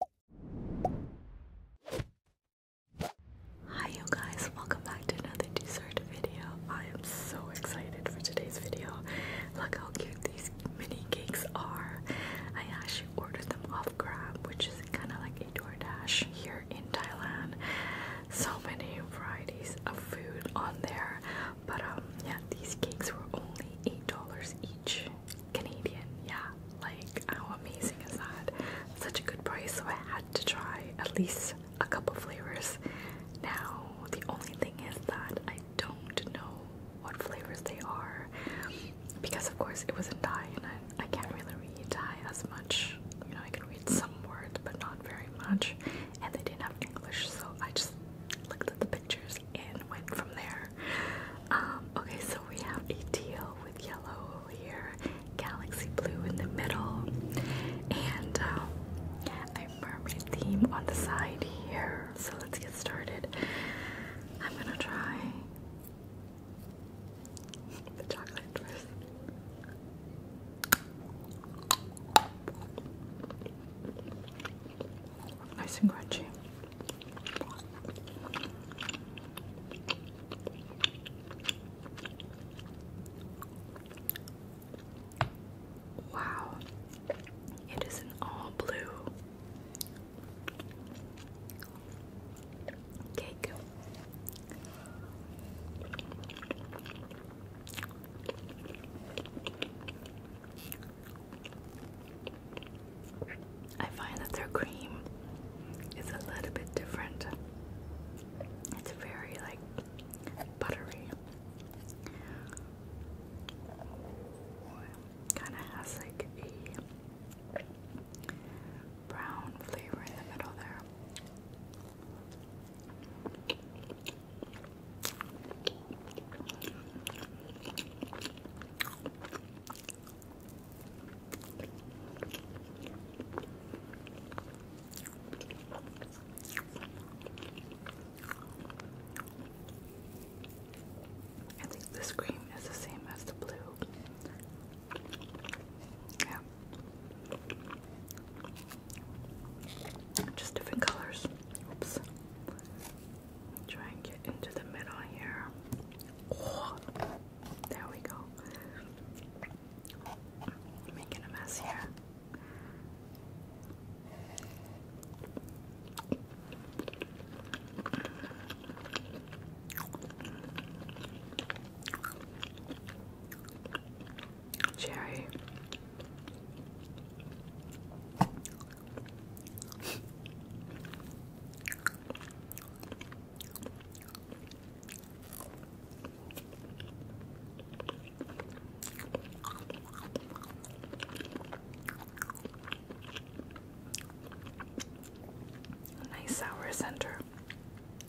Hi you guys, welcome back to another dessert video. I am so excited for today's video. Look how cute these mini cakes are. I actually ordered them off Grab, which is kind of like a DoorDash here in Thailand. So many varieties of food on there. But um yeah, these cakes were only $8 each. Canadian, yeah. Like, how amazing is that? Such a good price, so I had to try at least a couple flavors. Now, the only thing is that I don't know what flavors they are because, of course, it was in Thai and I, can't really read Thai as much. You know, I can read some words, but not very much. And they didn't have English, so I just looked at the pictures and went from there. Um, okay, so we have a deal with yellow here, galaxy blue in the middle, and um, a mermaid theme on the side here. So let's get started. I'm gonna try the chocolate first. Nice and crunchy. Wow, it is an all blue cake. I find that their cream is a little bit different. It's very like buttery. Kind of has like a brown flavor in the middle there. I think this cream is the same as the blue. Yeah. Just different colors. Oops. Try and get into the middle here. Oh, there we go. making a mess here. Cherry. nice sour center.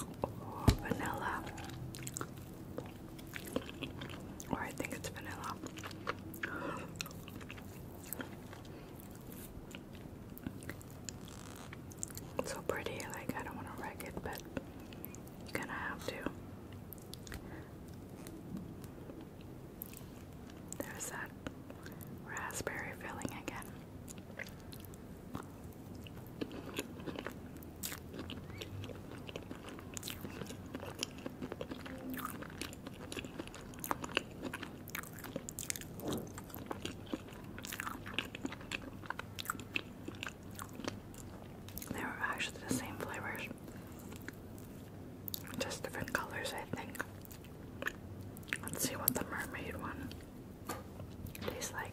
Oh, vanilla, or I think it's vanilla. It's so pretty, like I don't want to wreck it, but you kind of have to. There's that raspberry filling again. They were actually the same flavors, just different colors, I think. Let's see what the mermaid one tastes like.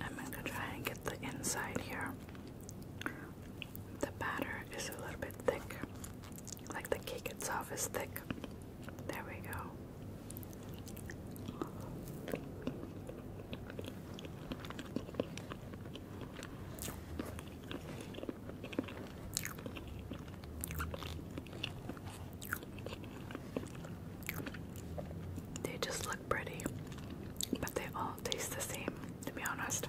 I'm going to try and get the inside here. The batter is a little bit thick, like the cake itself is thick. There we go. They just look pretty, but they all taste the same, to be honest.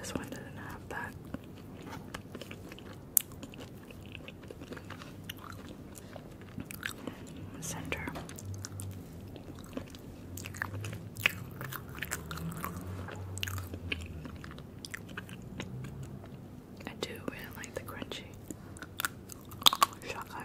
This one doesn't have that. Center. I do really like the crunchy chocolate.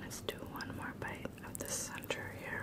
Let's do one more bite of the center here.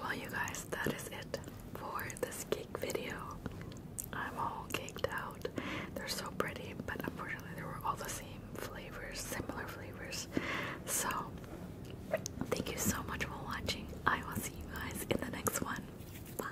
Well, you guys, that is it for this cake video. I'm all caked out. They're so pretty, but unfortunately, they were all the same flavors, similar flavors. So, thank you so much for watching. I will see you guys in the next one. Bye.